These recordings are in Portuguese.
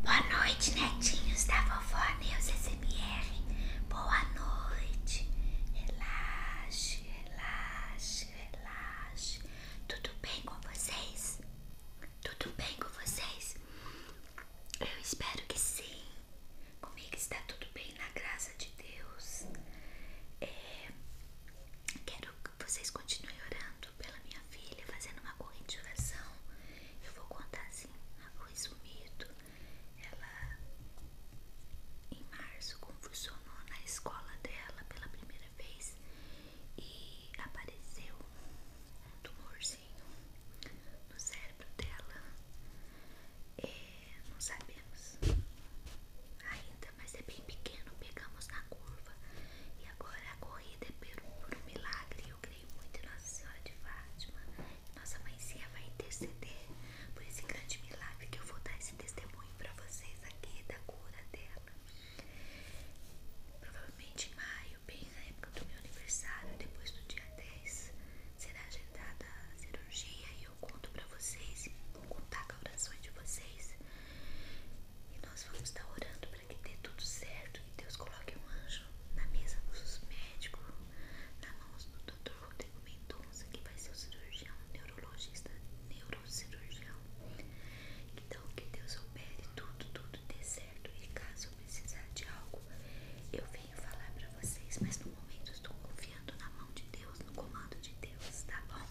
Boa noite, netinhos da vovó Neus SMR. Boa noite. Relaxe, relaxe, relaxe. Tudo bem com vocês? Tudo bem com vocês? Eu espero que sim. Comigo está tudo bem, na graça de Deus. É, quero que vocês continuem orando pela minha filha, fazendo uma corrente de oração. Eu vou contar assim, a resumido. Ela em março confusionou na escola dela pela primeira vez e apareceu um tumorzinho no cérebro dela. É, não sabemos ainda, mas é bem pequeno. Pegamos na curva e agora a corrida é por milagre eu creio muito em Nossa Senhora de Fátima. Nossa mãezinha vai interceder por esse grande milagre que eu vou dar esse testemunho para vocês aqui da cura dela. Provavelmente em maio, bem na época do meu aniversário, depois do dia 10, será agendada a cirurgia e eu conto para vocês, vou contar com orações de vocês e nós vamos estar orando para que dê tudo certo. Que Deus coloque um anjo na mesa dos médicos, na mão do doutor Rodrigo Mendonça, que vai ser o cirurgião, neurologista, neurocirurgião. Então, que Deus opere tudo, tudo dê certo. E caso eu precisar de algo, eu venho falar para vocês. Mas no momento, eu estou confiando na mão de Deus, no comando de Deus, tá bom?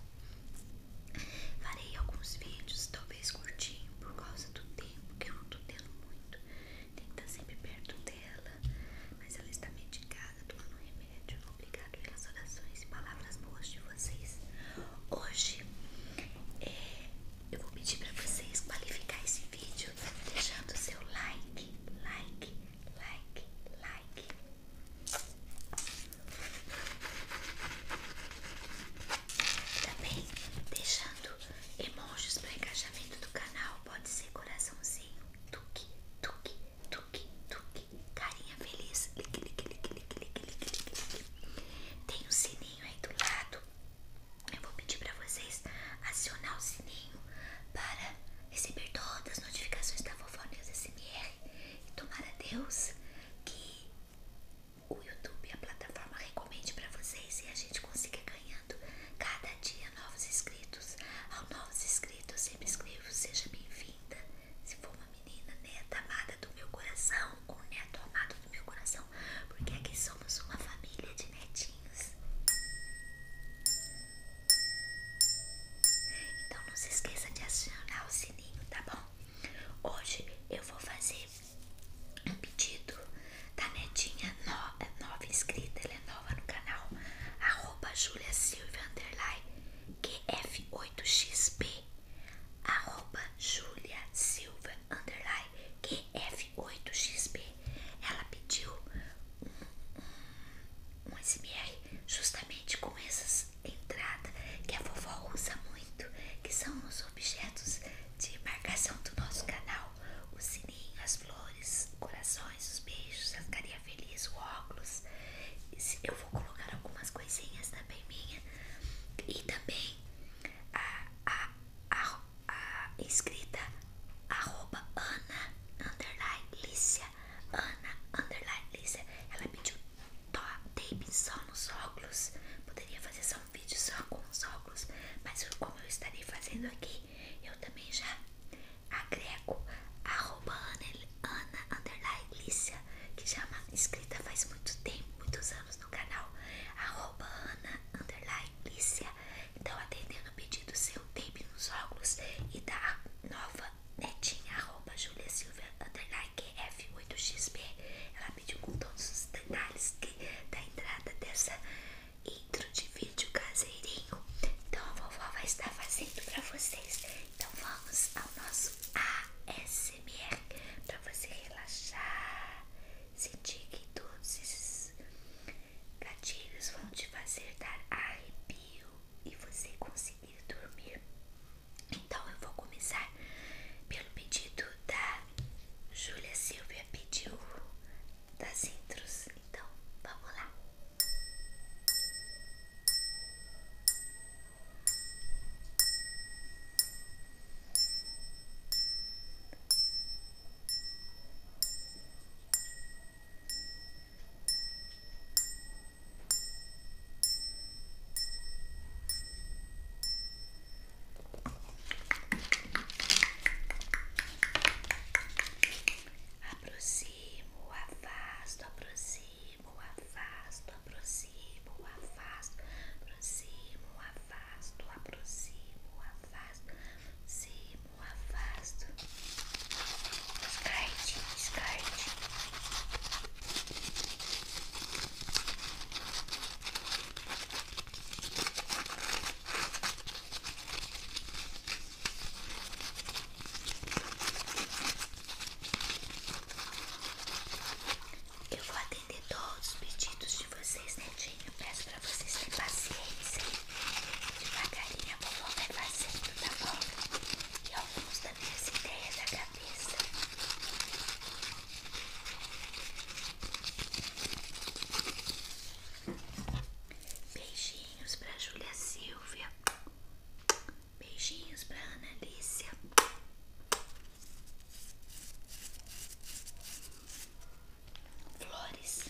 Farei alguns vídeos, talvez curtinho, por causa do tempo que eu não tô tendo muito. Tem que estar tá sempre perto dela, mas ela está medicada, tomando remédio. Obrigado pelas orações e palavras boas de vocês. Hoje é, eu vou pedir para vocês qualificar esse vídeo deixando o seu like, like, like, like. Também deixando emojis para engajamento do canal, pode ser coraçãozinho, tuque, tuque, tuque, tuque, carinha feliz, lique, lique, lique, lique, lique, lique, lique. Tem um sininho aí do lado. Eu vou pedir para vocês acionar o sininho para receber todas as notificações da Vovó News SMR e tomar a Deus que o YouTube, a plataforma recomende para vocês e a gente consiga ganhando cada dia novos inscritos. Ao novos inscritos, eu sempre escrevo seja bem-vinda. Se for uma menina neta amada do meu coração, ou neto amado do meu coração, porque aqui somos uma família de netinhos. Então não se esqueça de acionar o sininho, tá bom? Hoje eu vou fazer um pedido da netinha é nova, inscrita, ela é nova no canal, arroba Julia Silvia Underline QF8XP, arroba 8 xp Ela pediu um, um, um SMR justamente com essas entrada que a vovó usa muito, que são os objetos de marcação do nosso canal: o sininho, as flores, corações, os beijos, a carinha feliz, o óculos. Eu vou colocar algumas coisinhas também minha e também a, escrita arroba Ana Lícia Ana Lícia ela pediu Davidson nos óculos. Poderia fazer só um vídeo só com os óculos, mas como eu estarei fazendo aqui, eu também já agrego arroba Ana underline Lícia, que já é uma inscrita faz muito tempo, muitos anos no canal. Arroba Ana underline Lícia. Então, atendendo o pedido seu, tape nos óculos e da nova netinha, arroba Julia Silvia, underline QF8XP. Ela pediu com todos os detalhes da entrada dessa intro de vídeo caseirinho. Então a vovó vai estar fazendo pra vocês. Então vamos ao nosso ASMR pra você relaxar, sentir que todos esses gatilhos vão te fazer dar arrepio e você conseguir dormir. Então eu vou começar pelo pedido da Júlia Silvia pediu das intros. Então vamos lá. Aproximo, afasto, aproximo, afasto, aproximo, afasto, aproximo, afasto, aproximo, afasto, aproximo, afasto. Descarte, descarte. Eu vou atender todos os pedidos de vocês, netinho. Peço pra vocês terem paciência. Devagarinho a vovó vai fazendo, tá bom? E alguns também essa ideia da cabeça. Beijinhos pra Júlia Silvia. Beijinhos pra Ana Lícia. Flores.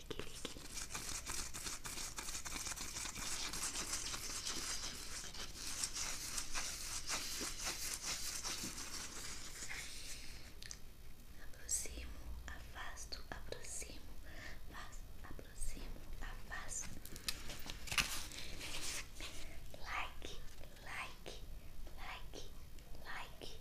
Aproximo, afasto, aproximo, afasto, aproximo, afasto. like, like, like, like.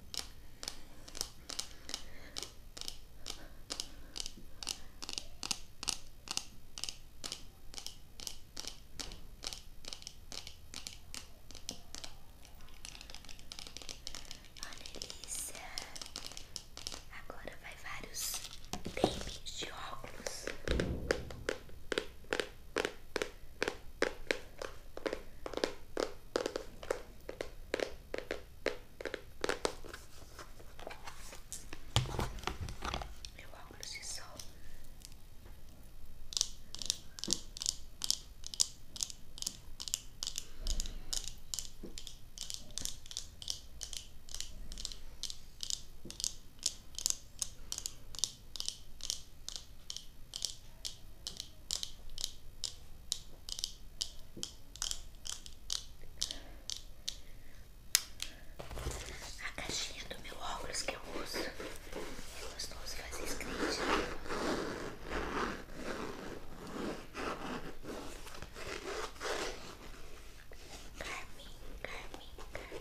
Olha, Elícia. Agora vai vários tapes de óculos. Meu óculos de sol. Vou a caixinha do meu óculos que eu uso é gostoso fazer screenshot. Carmin, Carmin, Carmin.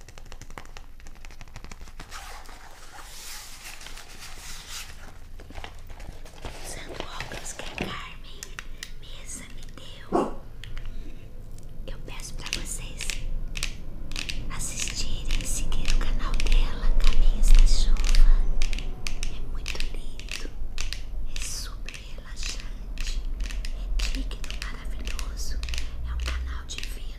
Usando óculos que a é Carmen Mesa me deu, eu peço para vocês assistirem e seguir o canal dela, Camisa da Chuva. É muito lindo, é super relaxante, é digno, maravilhoso, é um canal divino.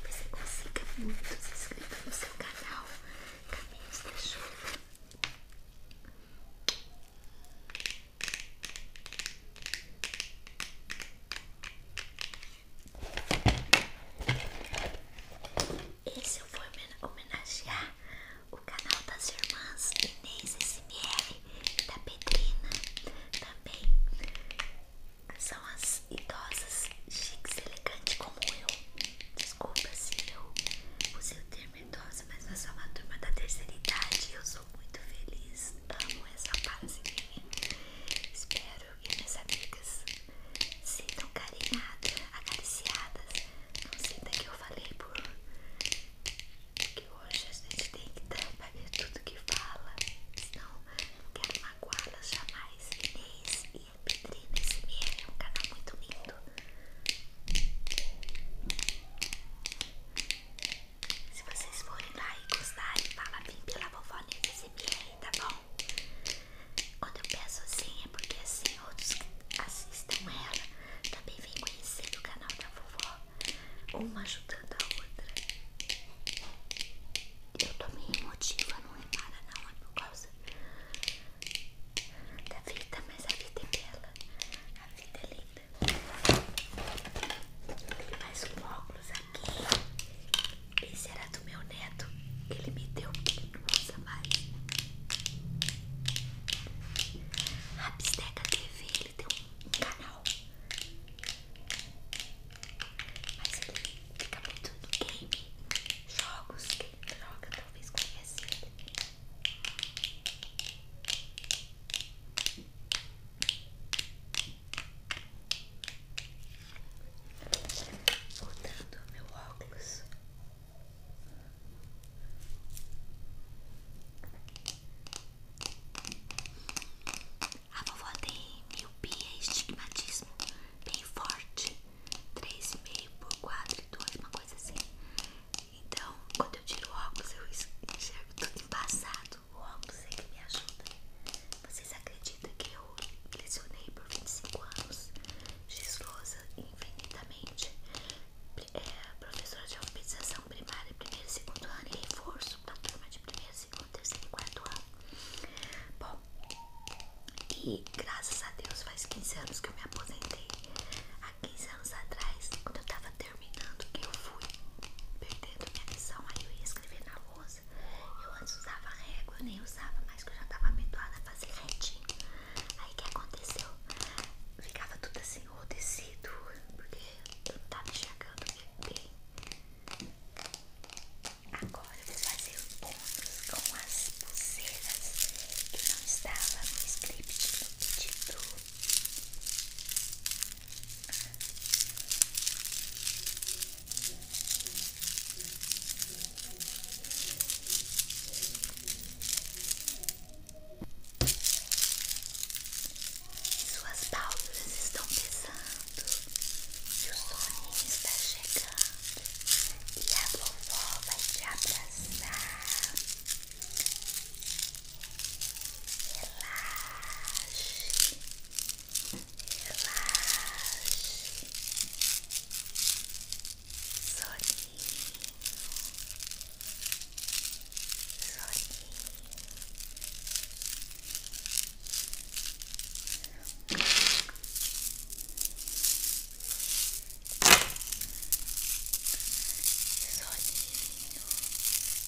que você consiga muito. Se inscreva no seu canal Caminhos da Chuva. Esse eu vou homenagear o canal das irmãs Inês e SMR da Petrina também são as idosas chiques elegantes como eu. Desculpa se eu usei o termo idosa, mas nós somos uma turma da terceira idade e eu sou muito feliz. Amo essa fase Espero que minhas amigas sintam carinhadas, acariciadas. Não sinta que eu falei por. que hoje a gente tem que trabalhar tudo que fala, senão não quero magoá la jamais. Inês e a Pedrina SMR é um canal muito lindo. Se vocês forem lá e gostarem, fala bem pela vovó Inês SMR, tá bom? Quando eu peço assim é porque assim outros que assistam ela também vêm conhecer o canal da vovó uma ajudando a outra. Eu tô meio emotiva, não é nada não, é por causa da vida, mas a vida é bela, a vida é linda. mais um óculos aqui, esse era do meu neto, ele me deu porque ele não usa mais. A bisteca TV ele tem um canal. Mas ele fica muito no game, jogos, que joga talvez conheça ele. Voltando ao meu óculos. A vovó tem miopia e estigmatismo bem forte. 3,5 por 4 e uma coisa assim. Então, quando eu tiro o óculos, eu enxergo tudo embaçado. O óculos é que me ajuda. Vocês acreditam que eu lecionei por 25 anos? Giz lousa infinitamente. É, professor de alfabetização primária, primeiro e segundo ano e reforço para turma de primeiro, segundo, terceiro e quarto ano. Bom, e graças a Deus faz 15 anos que eu me aposentei. Há 15 anos atrás, quando eu tava terminando, que eu fui perdendo minha lição, aí eu ia escrever na lousa. Eu antes usava régua, eu nem usava mais, que eu já tava habituada a fazer retinho. Aí o que aconteceu? Ficava tudo assim, ou porque não tá me enxergando bem. Agora eu vou fazer o com as pulseiras que não estavam no script no pedido. Suas pálpebras estão pesando e o soninho está chegando e a vovó vai te abraçar. Relaxe, relaxe, soninho.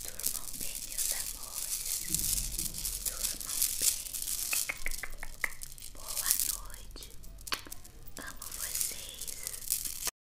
Durmam bem, meus amores. Durmam bem. Boa noite. Amo vocês.